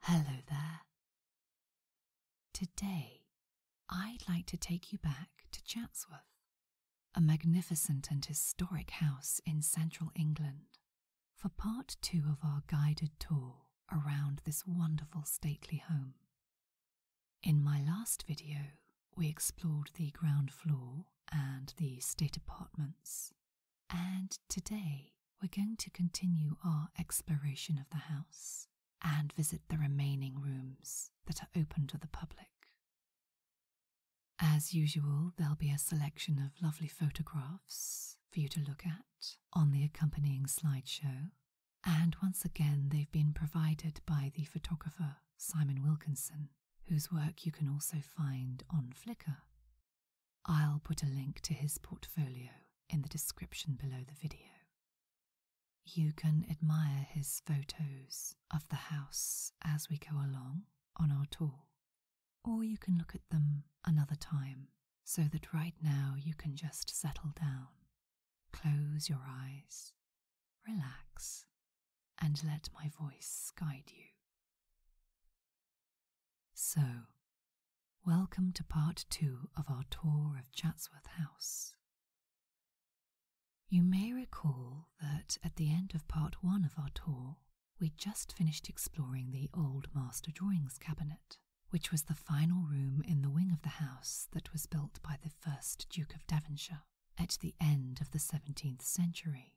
Hello there. Today, I'd like to take you back to Chatsworth, a magnificent and historic house in central England, for part two of our guided tour around this wonderful stately home. In my last video, we explored the ground floor and the state apartments, and today we're going to continue our exploration of the house and visit the remaining rooms that are open to the public. As usual, there'll be a selection of lovely photographs for you to look at on the accompanying slideshow. And once again, they've been provided by the photographer Simon Wilkinson, whose work you can also find on Flickr. I'll put a link to his portfolio in the description below the video. You can admire his photos of the house as we go along on our tour, or you can look at them another time so that right now you can just settle down, close your eyes, relax, and let my voice guide you. So, welcome to part two of our tour of Chatsworth House. You may recall that at the end of part one of our tour, we just finished exploring the old master drawings cabinet, which was the final room in the wing of the house that was built by the first Duke of Devonshire at the end of the 17th century.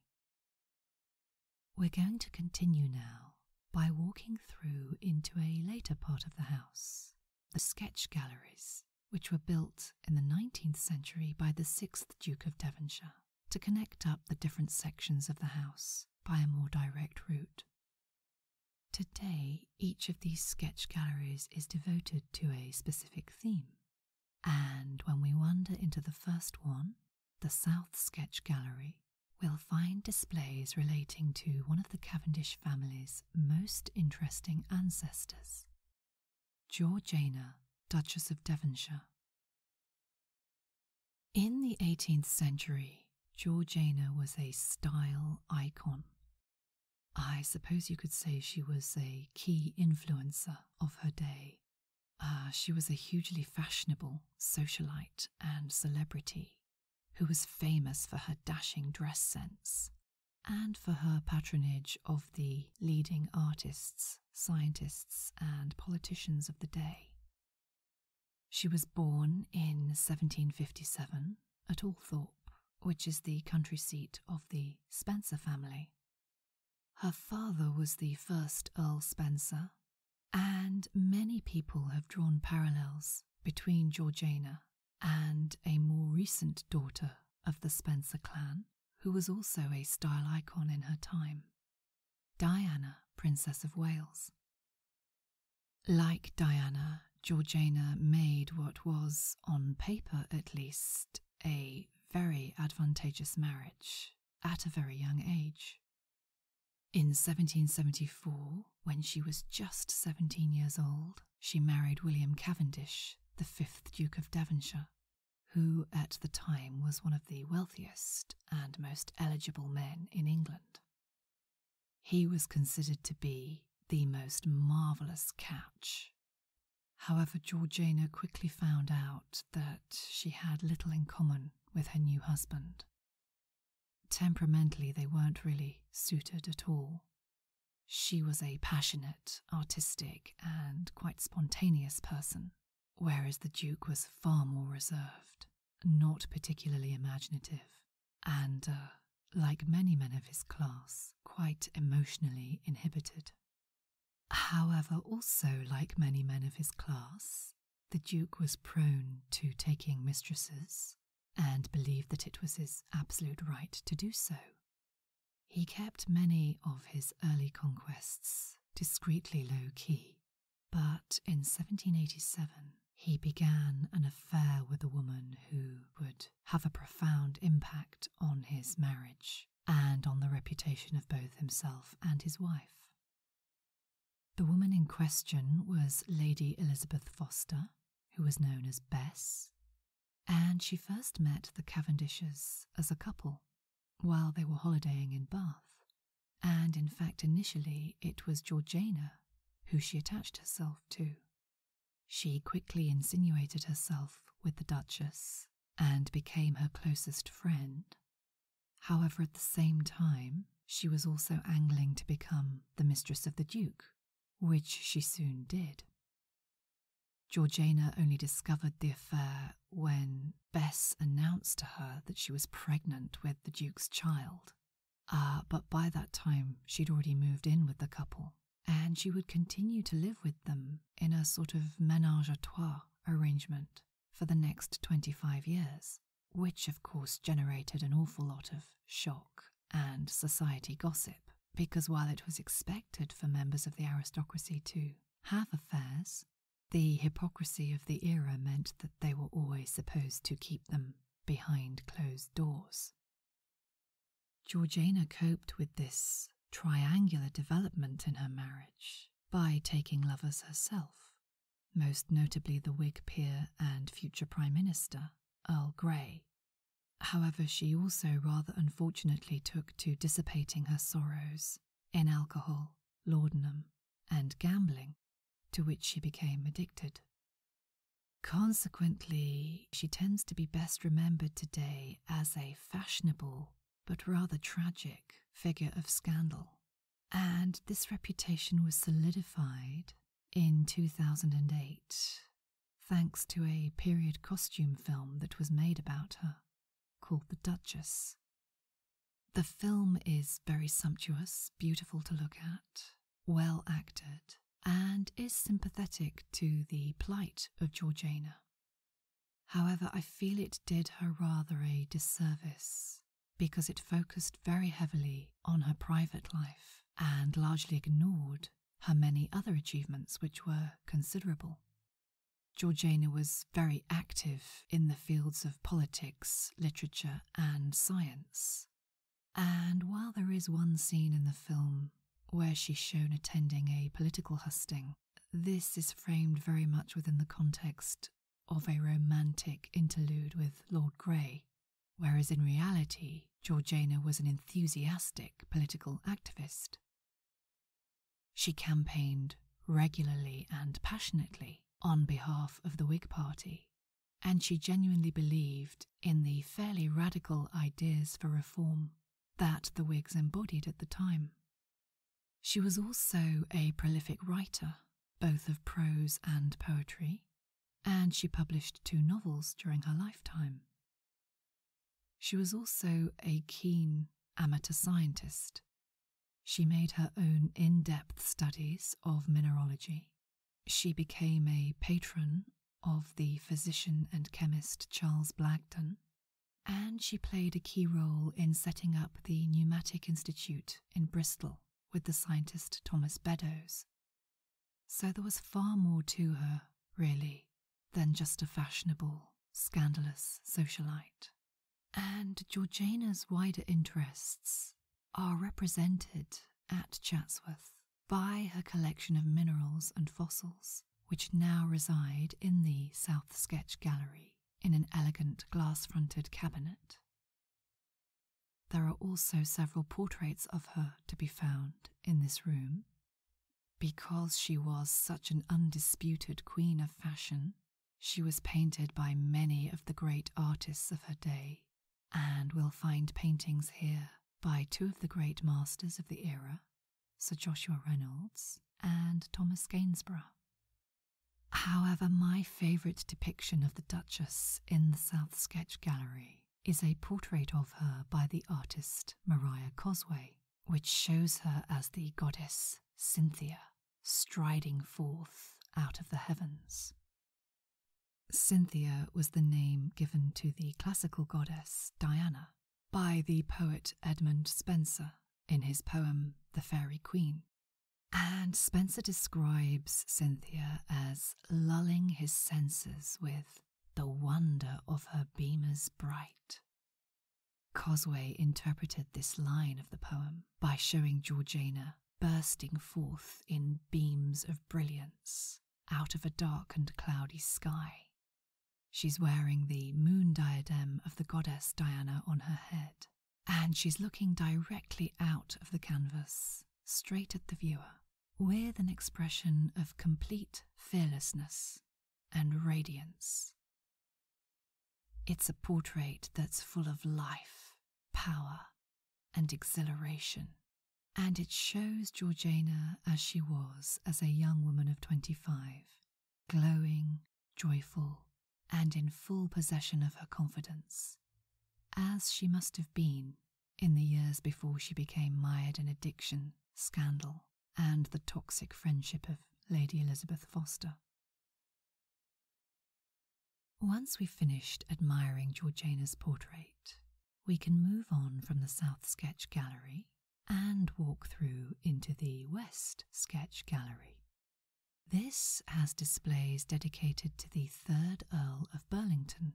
We're going to continue now by walking through into a later part of the house, the sketch galleries, which were built in the 19th century by the 6th Duke of Devonshire to connect up the different sections of the house by a more direct route. Today, each of these sketch galleries is devoted to a specific theme. And when we wander into the first one, the South Sketch Gallery, we'll find displays relating to one of the Cavendish family's most interesting ancestors, Georgiana, Duchess of Devonshire. In the 18th century, Georgiana was a style icon. I suppose you could say she was a key influencer of her day uh, she was a hugely fashionable socialite and celebrity who was famous for her dashing dress sense and for her patronage of the leading artists, scientists, and politicians of the day. She was born in 1757 at Althorpe, which is the country seat of the Spencer family. Her father was the first Earl Spencer, and many people have drawn parallels between Georgiana and a more recent daughter of the Spencer clan, who was also a style icon in her time Diana, Princess of Wales. Like Diana, Georgiana made what was, on paper at least, a very advantageous marriage at a very young age. In 1774, when she was just 17 years old, she married William Cavendish, the 5th Duke of Devonshire, who at the time was one of the wealthiest and most eligible men in England. He was considered to be the most marvellous catch. However, Georgiana quickly found out that she had little in common with her new husband. Temperamentally, they weren't really suited at all. She was a passionate, artistic, and quite spontaneous person, whereas the Duke was far more reserved, not particularly imaginative, and, uh, like many men of his class, quite emotionally inhibited. However, also, like many men of his class, the Duke was prone to taking mistresses and believed that it was his absolute right to do so. He kept many of his early conquests discreetly low key, but in 1787 he began an affair with a woman who would have a profound impact on his marriage and on the reputation of both himself and his wife. The woman in question was Lady Elizabeth Foster, who was known as Bess, and she first met the Cavendishes as a couple while they were holidaying in Bath, and in fact, initially it was Georgiana who she attached herself to. She quickly insinuated herself with the Duchess and became her closest friend However, at the same time, she was also angling to become the mistress of the Duke, which she soon did. Georgiana only discovered the affair when Bess announced to her that she was pregnant with the Duke's child. Uh, but by that time, she'd already moved in with the couple, and she would continue to live with them in a sort of menage a trois arrangement for the next 25 years, which of course generated an awful lot of shock and society gossip, because while it was expected for members of the aristocracy to have affairs, the hypocrisy of the era meant that they were always supposed to keep them behind closed doors. Georgiana coped with this triangular development in her marriage by taking lovers herself, most notably the Whig peer and future Prime Minister, Earl Grey. However, she also rather unfortunately took to dissipating her sorrows in alcohol, laudanum, and gambling, to which she became addicted. Consequently, she tends to be best remembered today as a fashionable but rather tragic, figure of scandal. And this reputation was solidified in 2008 thanks to a period costume film that was made about her called The Duchess. The film is very sumptuous, beautiful to look at, well acted, and is sympathetic to the plight of Georgiana. However, I feel it did her rather a disservice because it focused very heavily on her private life and largely ignored her many other achievements, which were considerable. Georgiana was very active in the fields of politics, literature, and science. And while there is one scene in the film where she's shown attending a political husting, this is framed very much within the context of a romantic interlude with Lord Grey, whereas in reality, Georgiana was an enthusiastic political activist. She campaigned regularly and passionately on behalf of the Whig Party, and she genuinely believed in the fairly radical ideas for reform that the Whigs embodied at the time. She was also a prolific writer, both of prose and poetry, and she published two novels during her lifetime. She was also a keen amateur scientist. She made her own in depth studies of mineralogy. She became a patron of the physician and chemist Charles Blackton and she played a key role in setting up the Pneumatic Institute in Bristol with the scientist Thomas Beddoes. So there was far more to her, really, than just a fashionable, scandalous socialite. And Georgiana's wider interests are represented at Chatsworth by her collection of minerals and fossils, which now reside in the South Sketch Gallery in an elegant glass fronted cabinet. There are also several portraits of her to be found in this room. Because she was such an undisputed queen of fashion, she was painted by many of the great artists of her day, and we'll find paintings here by two of the great masters of the era Sir Joshua Reynolds, and Thomas Gainsborough. However, my favourite depiction of the Duchess in the South Sketch Gallery is a portrait of her by the artist Maria Cosway, which shows her as the goddess Cynthia striding forth out of the heavens. Cynthia was the name given to the classical goddess Diana by the poet Edmund Spenser in his poem The Fairy Queen. And Spencer describes Cynthia as lulling his senses with the wonder of her beamers bright. Cosway interpreted this line of the poem by showing Georgiana bursting forth in beams of brilliance out of a dark and cloudy sky She's wearing the moon diadem of the goddess Diana on her head, and she's looking directly out of the canvas, straight at the viewer, with an expression of complete fearlessness and radiance. It's a portrait that's full of life, power, and exhilaration. And it shows Georgiana as she was as a young woman of 25, glowing, joyful, and in full possession of her confidence, as she must have been in the years before she became mired in addiction, scandal, and the toxic friendship of Lady Elizabeth Foster. Once we've finished admiring Georgiana's portrait, we can move on from the South Sketch Gallery and walk through into the West Sketch Gallery. This has displays dedicated to the third Earl of Burlington,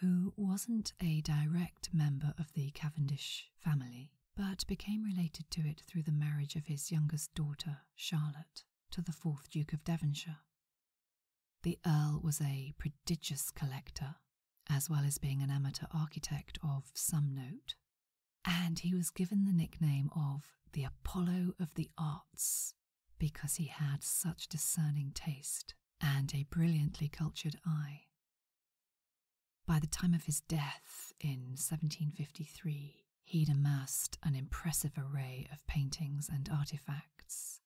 who wasn't a direct member of the Cavendish family, but became related to it through the marriage of his youngest daughter, Charlotte, to the fourth Duke of Devonshire. The Earl was a prodigious collector, as well as being an amateur architect of some note, and he was given the nickname of the Apollo of the Arts because he had such discerning taste and a brilliantly cultured eye. By the time of his death in 1753, he had amassed an impressive array of paintings and artifacts.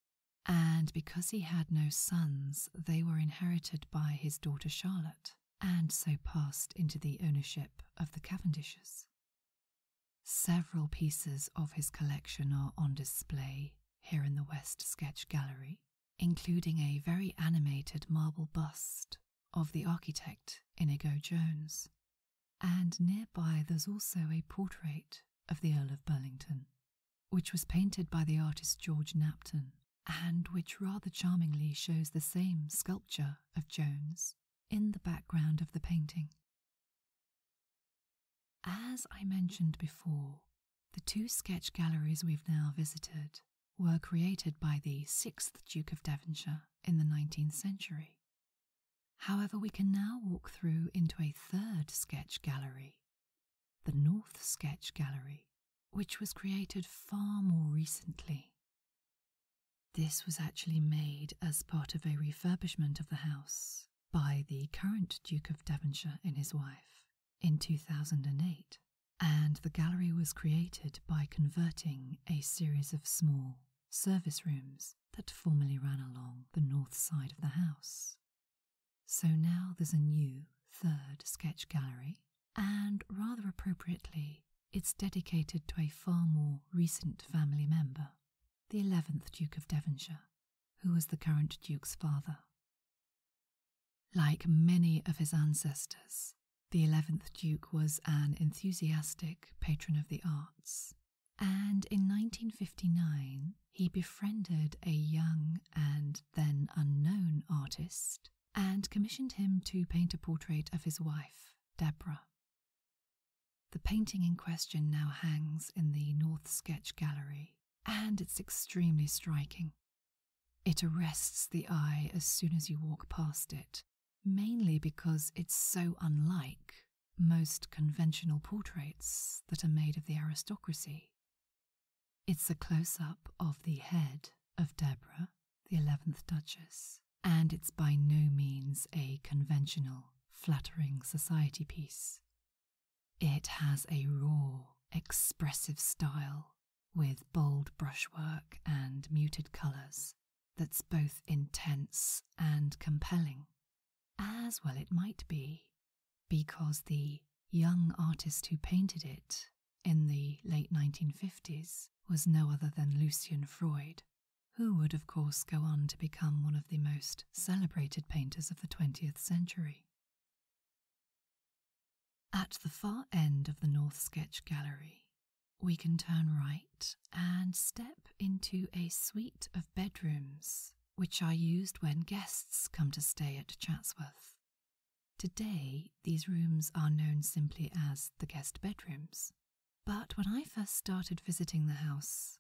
And because he had no sons, they were inherited by his daughter Charlotte, and so passed into the ownership of the Cavendishes. Several pieces of his collection are on display here in the West Sketch Gallery, including a very animated marble bust of the architect Inigo Jones, and nearby there's also a portrait of the Earl of Burlington, which was painted by the artist George Napton and which rather charmingly shows the same sculpture of Jones in the background of the painting. As I mentioned before, the two sketch galleries we've now visited were created by the 6th Duke of Devonshire in the 19th century. However, we can now walk through into a third sketch gallery, the North Sketch Gallery, which was created far more recently. This was actually made as part of a refurbishment of the house by the current Duke of Devonshire and his wife in 2008, and the gallery was created by converting a series of small service rooms that formerly ran along the north side of the house. So now there's a new third sketch gallery and rather appropriately, it's dedicated to a far more recent family member, the 11th Duke of Devonshire, who was the current Duke's father. Like many of his ancestors, the 11th Duke was an enthusiastic patron of the arts, and in 1959 he befriended a young and then unknown artist and commissioned him to paint a portrait of his wife, Deborah. The painting in question now hangs in the North Sketch Gallery, and it's extremely striking. It arrests the eye as soon as you walk past it, mainly because it's so unlike most conventional portraits that are made of the aristocracy. It's a close up of the head of Deborah, the 11th Duchess, and it's by no means a conventional, flattering society piece. It has a raw, expressive style with bold brushwork and muted colours that's both intense and compelling, as well it might be, because the young artist who painted it in the late 1950s was no other than Lucian Freud, who would, of course, go on to become one of the most celebrated painters of the 20th century. At the far end of the North Sketch Gallery, we can turn right and step into a suite of bedrooms, which are used when guests come to stay at Chatsworth. Today, these rooms are known simply as the guest bedrooms. But when I first started visiting the house,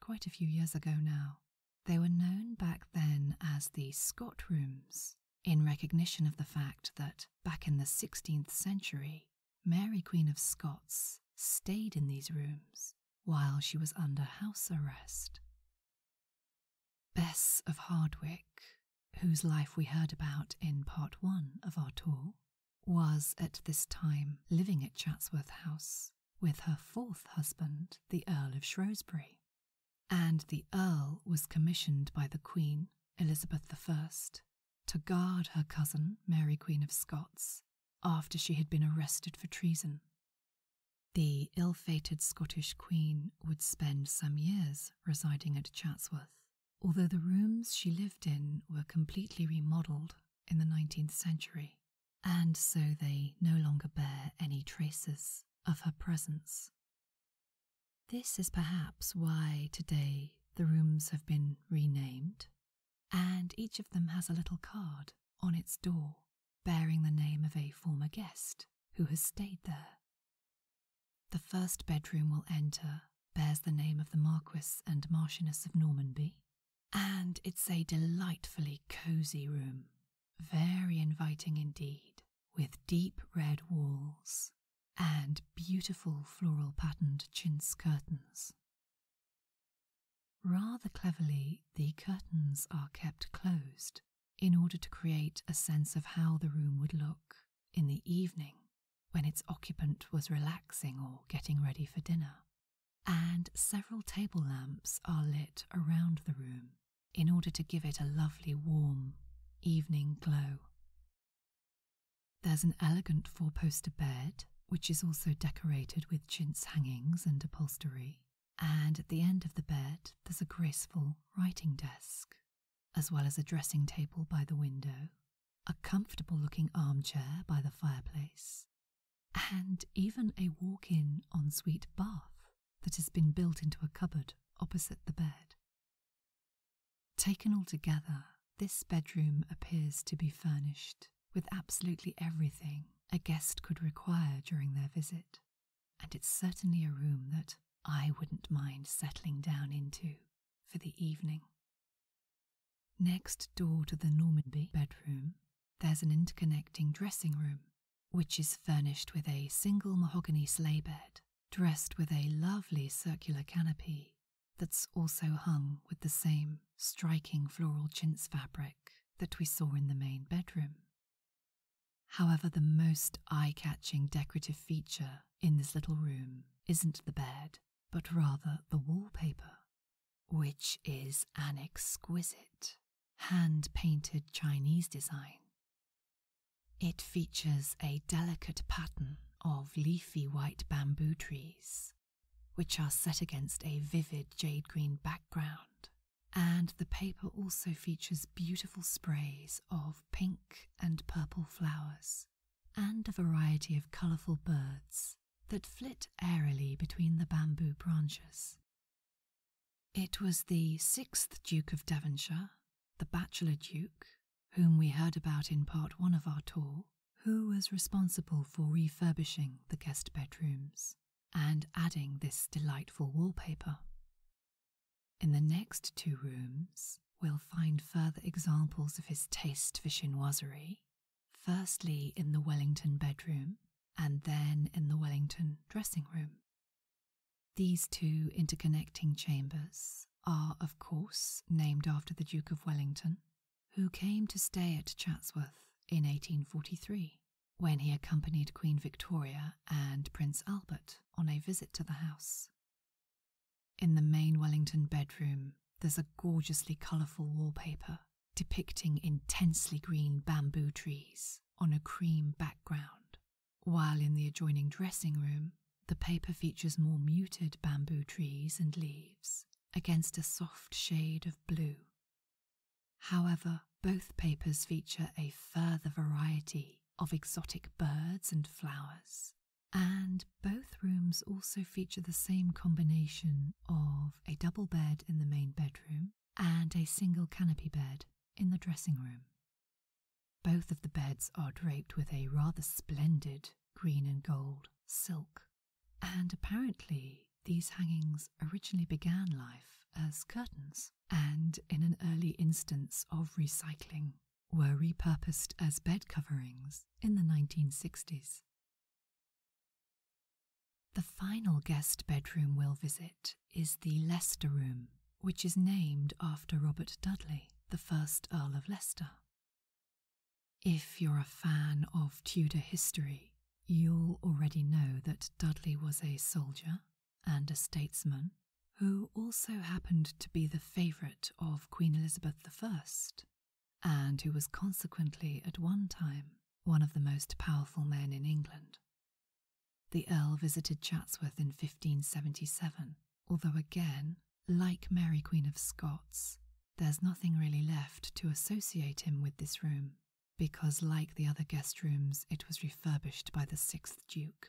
quite a few years ago now, they were known back then as the Scott rooms, in recognition of the fact that back in the 16th century, Mary Queen of Scots stayed in these rooms while she was under house arrest. Bess of Hardwick, whose life we heard about in part one of our tour, was at this time living at Chatsworth House with her fourth husband, the Earl of Shrewsbury. And the Earl was commissioned by the Queen, Elizabeth I, to guard her cousin, Mary Queen of Scots, after she had been arrested for treason. The ill fated Scottish Queen would spend some years residing at Chatsworth, although the rooms she lived in were completely remodeled in the 19th century, and so they no longer bear any traces of her presence. This is perhaps why today the rooms have been renamed, and each of them has a little card on its door bearing the name of a former guest who has stayed there. The first bedroom we'll enter bears the name of the Marquis and Marchioness of Normanby, and it's a delightfully cosy room, very inviting indeed, with deep red walls and beautiful floral patterned chintz curtains. Rather cleverly, the curtains are kept closed in order to create a sense of how the room would look in the evening when its occupant was relaxing or getting ready for dinner. And several table lamps are lit around the room in order to give it a lovely warm evening glow. There's an elegant four poster bed, which is also decorated with chintz hangings and upholstery, and at the end of the bed, there's a graceful writing desk, as well as a dressing table by the window, a comfortable looking armchair by the fireplace, and even a walk in ensuite bath that has been built into a cupboard opposite the bed. Taken altogether, this bedroom appears to be furnished with absolutely everything a guest could require during their visit and it's certainly a room that I wouldn't mind settling down into for the evening. Next door to the Normanby bedroom, there's an interconnecting dressing room, which is furnished with a single mahogany sleigh bed, dressed with a lovely circular canopy that's also hung with the same striking floral chintz fabric that we saw in the main bedroom. However, the most eye catching decorative feature in this little room isn't the bed, but rather the wallpaper, which is an exquisite hand painted Chinese design. It features a delicate pattern of leafy white bamboo trees, which are set against a vivid jade green background and the paper also features beautiful sprays of pink and purple flowers and a variety of colourful birds that flit airily between the bamboo branches. It was the sixth Duke of Devonshire, the Bachelor Duke, whom we heard about in part one of our tour, who was responsible for refurbishing the guest bedrooms and adding this delightful wallpaper. In the next two rooms, we'll find further examples of his taste for chinoiserie, firstly in the Wellington bedroom and then in the Wellington dressing room. These two interconnecting chambers are, of course, named after the Duke of Wellington, who came to stay at Chatsworth in 1843 when he accompanied Queen Victoria and Prince Albert on a visit to the house. In the main Wellington bedroom, there's a gorgeously colourful wallpaper depicting intensely green bamboo trees on a cream background, while in the adjoining dressing room, the paper features more muted bamboo trees and leaves against a soft shade of blue. However, both papers feature a further variety of exotic birds and flowers, and both rooms also feature the same combination of a double bed in the main bedroom and a single canopy bed in the dressing room. Both of the beds are draped with a rather splendid green and gold silk, and apparently these hangings originally began life as curtains and, in an early instance of recycling, were repurposed as bed coverings in the 1960s. The final guest bedroom we'll visit is the Leicester Room, which is named after Robert Dudley, the first Earl of Leicester. If you're a fan of Tudor history, You'll already know that Dudley was a soldier and a statesman who also happened to be the favourite of Queen Elizabeth I, and who was consequently at one time one of the most powerful men in England. The Earl visited Chatsworth in 1577, although again, like Mary Queen of Scots, there's nothing really left to associate him with this room because, like the other guest rooms, it was refurbished by the sixth Duke.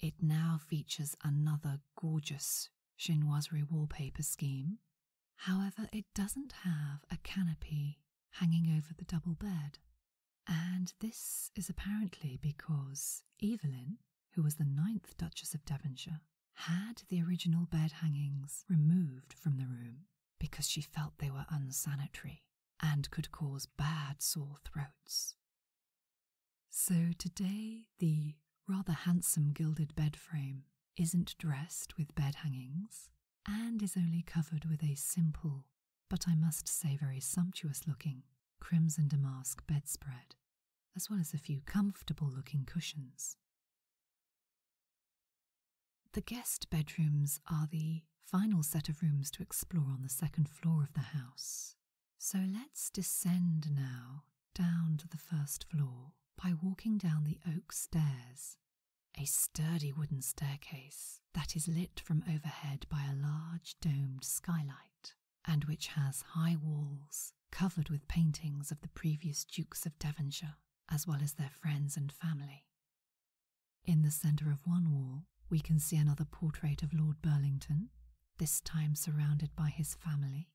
It now features another gorgeous chinoiserie wallpaper scheme. However, it doesn't have a canopy hanging over the double bed. And this is apparently because Evelyn, who was the ninth Duchess of Devonshire, had the original bed hangings removed from the room because she felt they were unsanitary and could cause bad sore throats. So today, the rather handsome gilded bed frame isn't dressed with bed hangings and is only covered with a simple, but I must say very sumptuous looking, crimson damask bedspread, as well as a few comfortable looking cushions. The guest bedrooms are the final set of rooms to explore on the second floor of the house. So let's descend now down to the first floor by walking down the oak stairs, a sturdy wooden staircase that is lit from overhead by a large domed skylight and which has high walls covered with paintings of the previous Dukes of Devonshire, as well as their friends and family. In the centre of one wall, we can see another portrait of Lord Burlington, this time surrounded by his family,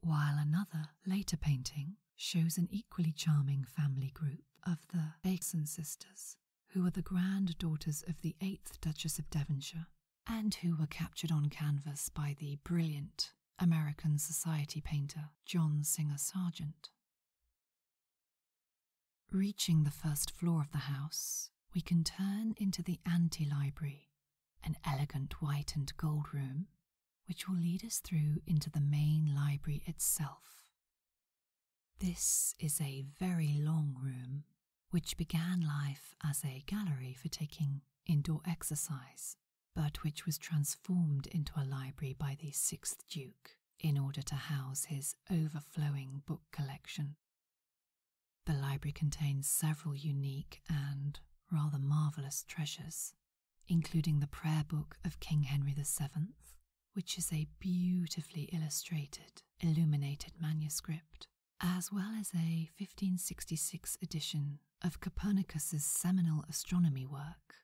while another later painting shows an equally charming family group of the Bakeson sisters, who were the granddaughters of the 8th Duchess of Devonshire and who were captured on canvas by the brilliant American Society painter John Singer Sargent. Reaching the first floor of the house, we can turn into the ante library, an elegant white and gold room, which will lead us through into the main library itself. This is a very long room, which began life as a gallery for taking indoor exercise but which was transformed into a library by the sixth Duke in order to house his overflowing book collection. The library contains several unique and rather marvellous treasures, including the prayer book of King Henry VII, which is a beautifully illustrated, illuminated manuscript, as well as a 1566 edition of Copernicus's seminal astronomy work,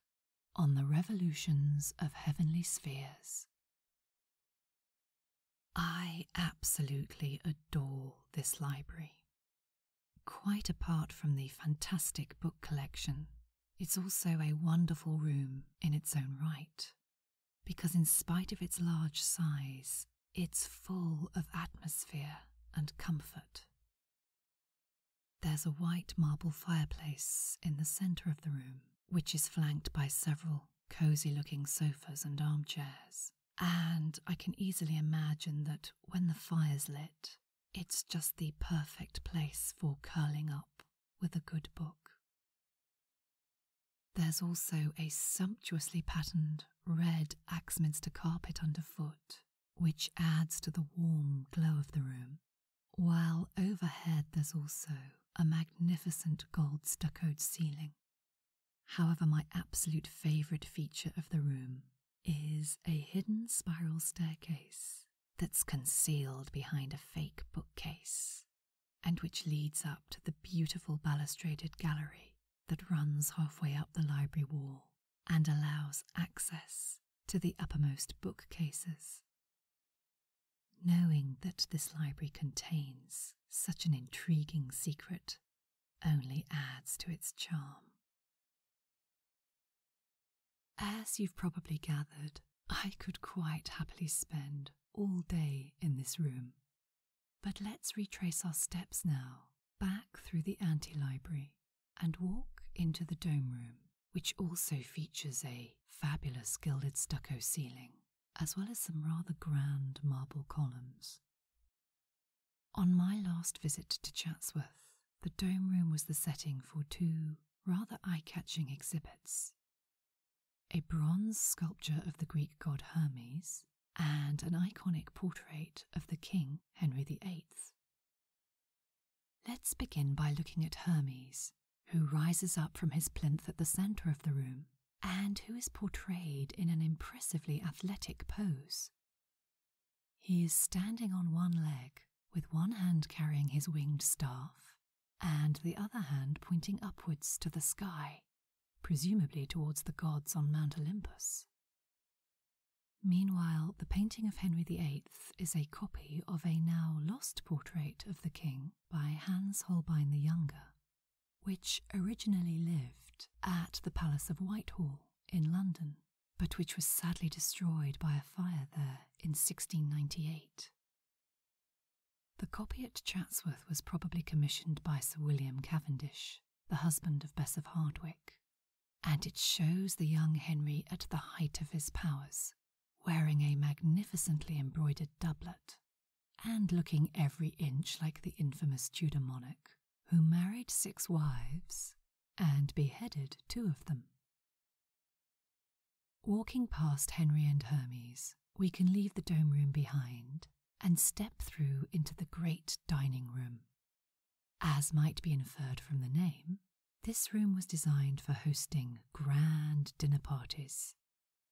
on the revolutions of heavenly spheres. I absolutely adore this library. Quite apart from the fantastic book collection, it's also a wonderful room in its own right, because in spite of its large size, it's full of atmosphere and comfort. There's a white marble fireplace in the center of the room, which is flanked by several cozy looking sofas and armchairs. And I can easily imagine that when the fire's lit, it's just the perfect place for curling up with a good book. There's also a sumptuously patterned red Axminster carpet underfoot, which adds to the warm glow of the room while overhead there's also a magnificent gold stuccoed ceiling. However, my absolute favourite feature of the room is a hidden spiral staircase that's concealed behind a fake bookcase and which leads up to the beautiful balustraded gallery that runs halfway up the library wall and allows access to the uppermost bookcases. Knowing that this library contains such an intriguing secret only adds to its charm. As you've probably gathered, I could quite happily spend all day in this room. But let's retrace our steps now, back through the ante library and walk into the dome room, which also features a fabulous gilded stucco ceiling, as well as some rather grand marble columns. On my last visit to Chatsworth, the dome room was the setting for two rather eye catching exhibits a bronze sculpture of the Greek god Hermes, and an iconic portrait of the king Henry VIII. Let's begin by looking at Hermes, who rises up from his plinth at the center of the room and who is portrayed in an impressively athletic pose. He is standing on one leg, with one hand carrying his winged staff and the other hand pointing upwards to the sky, presumably towards the gods on Mount Olympus. Meanwhile, the painting of Henry VIII is a copy of a now lost portrait of the king by Hans Holbein the Younger, which originally lived at the Palace of Whitehall in London, but which was sadly destroyed by a fire there in 1698. The copy at Chatsworth was probably commissioned by Sir William Cavendish, the husband of Bess of Hardwick, and it shows the young Henry at the height of his powers, wearing a magnificently embroidered doublet, and looking every inch like the infamous Tudor monarch, who married six wives and beheaded two of them. Walking past Henry and Hermes, we can leave the dome room behind and step through into the great dining room, as might be inferred from the name, this room was designed for hosting grand dinner parties,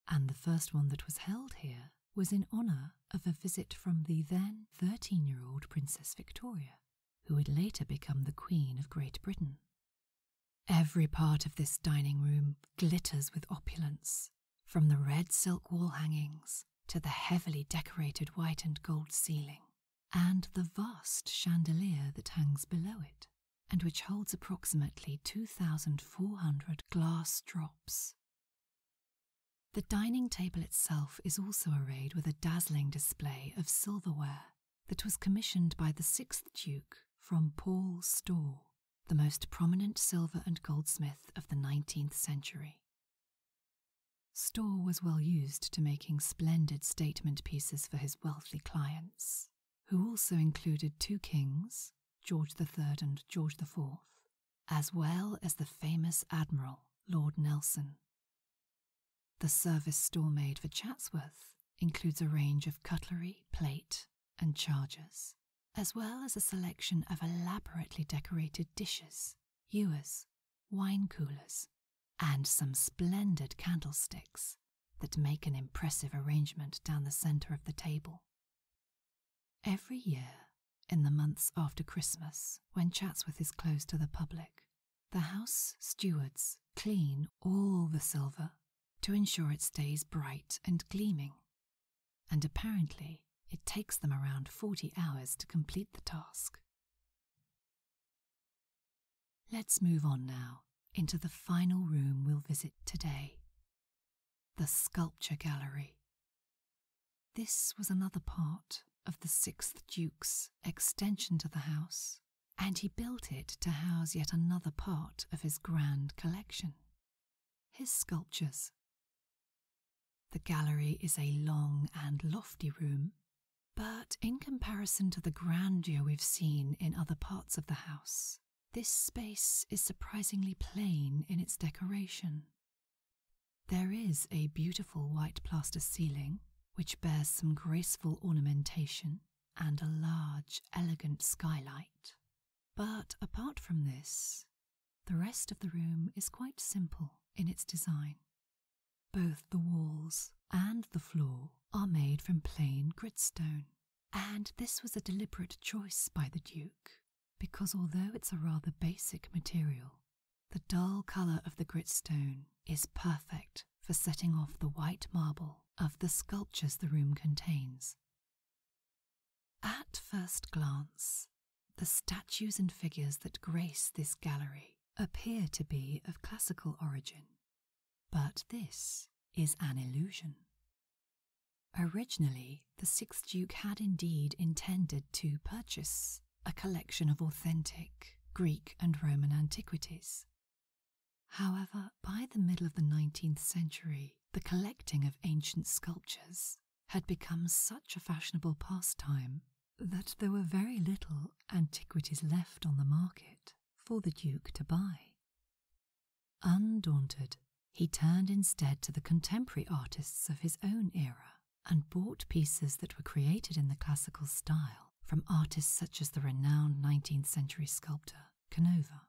and the first one that was held here was in honour of a visit from the then 13 year old Princess Victoria, who would later become the Queen of Great Britain. Every part of this dining room glitters with opulence, from the red silk wall hangings to the heavily decorated white and gold ceiling and the vast chandelier that hangs below it, and which holds approximately 2,400 glass drops. The dining table itself is also arrayed with a dazzling display of silverware that was commissioned by the sixth Duke from Paul Storr, the most prominent silver and goldsmith of the 19th century. Storr was well used to making splendid statement pieces for his wealthy clients, who also included two kings, George III and George IV, as well as the famous admiral, Lord Nelson. The service Store made for Chatsworth includes a range of cutlery, plate, and chargers, as well as a selection of elaborately decorated dishes, ewers, wine coolers, and some splendid candlesticks that make an impressive arrangement down the center of the table. Every year, in the months after Christmas, when Chatsworth is closed to the public, the house stewards clean all the silver to ensure it stays bright and gleaming, and apparently it takes them around 40 hours to complete the task. Let's move on now into the final room we'll visit today the Sculpture Gallery. This was another part of the Sixth Duke's extension to the house, and he built it to house yet another part of his grand collection his sculptures. The gallery is a long and lofty room, but in comparison to the grandeur we've seen in other parts of the house, this space is surprisingly plain in its decoration. There is a beautiful white plaster ceiling, which bears some graceful ornamentation and a large, elegant skylight. But apart from this, the rest of the room is quite simple in its design. Both the walls and the floor are made from plain gritstone, and this was a deliberate choice by the Duke, because although it's a rather basic material, the dull colour of the gritstone is perfect for setting off the white marble of the sculptures the room contains. At first glance, the statues and figures that grace this gallery appear to be of classical origin, but this is an illusion. Originally, the sixth Duke had indeed intended to purchase a collection of authentic Greek and Roman antiquities. However, by the middle of the 19th century, the collecting of ancient sculptures had become such a fashionable pastime that there were very little antiquities left on the market for the Duke to buy. Undaunted, he turned instead to the contemporary artists of his own era and bought pieces that were created in the classical style from artists such as the renowned 19th century sculptor Canova.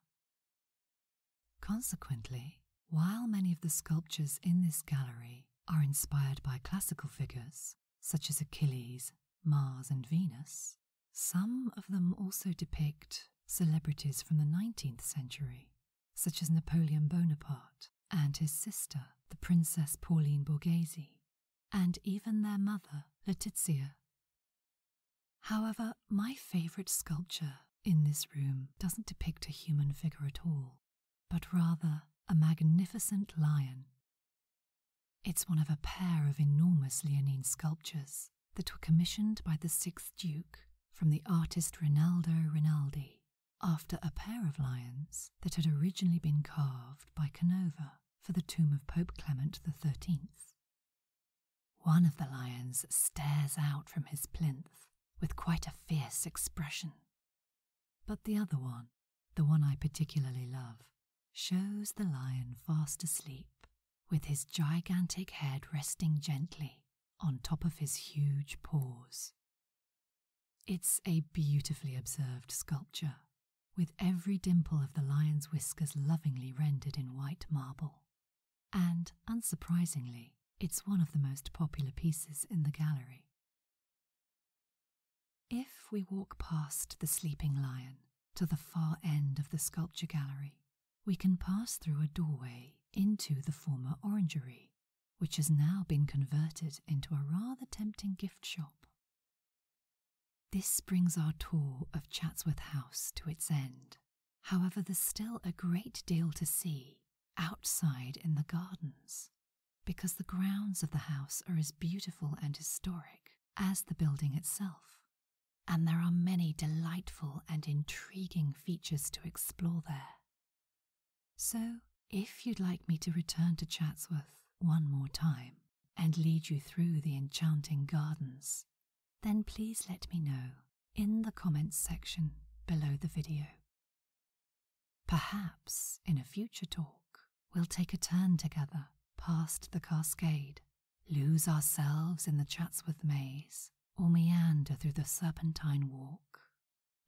Consequently, while many of the sculptures in this gallery are inspired by classical figures such as Achilles, Mars, and Venus, some of them also depict celebrities from the 19th century, such as Napoleon Bonaparte and his sister, the Princess Pauline Borghese, and even their mother, Letizia. However, my favourite sculpture in this room doesn't depict a human figure at all but rather a magnificent lion. It's one of a pair of enormous Leonine sculptures that were commissioned by the sixth Duke from the artist Rinaldo Rinaldi after a pair of lions that had originally been carved by Canova for the tomb of Pope Clement XIII. One of the lions stares out from his plinth with quite a fierce expression, but the other one, the one I particularly love, shows the lion fast asleep, with his gigantic head resting gently on top of his huge paws. It's a beautifully observed sculpture, with every dimple of the lion's whiskers lovingly rendered in white marble. And, unsurprisingly, it's one of the most popular pieces in the gallery. If we walk past the sleeping lion to the far end of the sculpture gallery, we can pass through a doorway into the former orangery, which has now been converted into a rather tempting gift shop. This brings our tour of Chatsworth House to its end. However, there's still a great deal to see outside in the gardens, because the grounds of the house are as beautiful and historic as the building itself, and there are many delightful and intriguing features to explore there. So, if you'd like me to return to Chatsworth one more time and lead you through the enchanting gardens, then please let me know in the comments section below the video. Perhaps in a future talk, we'll take a turn together past the cascade, lose ourselves in the Chatsworth maze, or meander through the Serpentine Walk,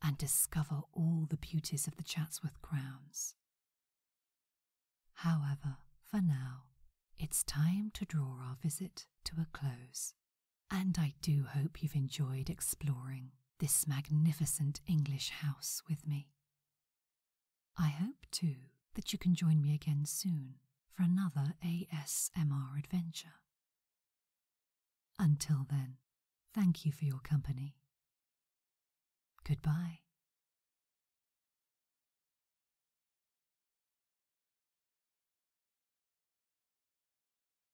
and discover all the beauties of the Chatsworth grounds. However, for now, it's time to draw our visit to a close. And I do hope you've enjoyed exploring this magnificent English house with me. I hope, too, that you can join me again soon for another ASMR adventure. Until then, thank you for your company. Goodbye.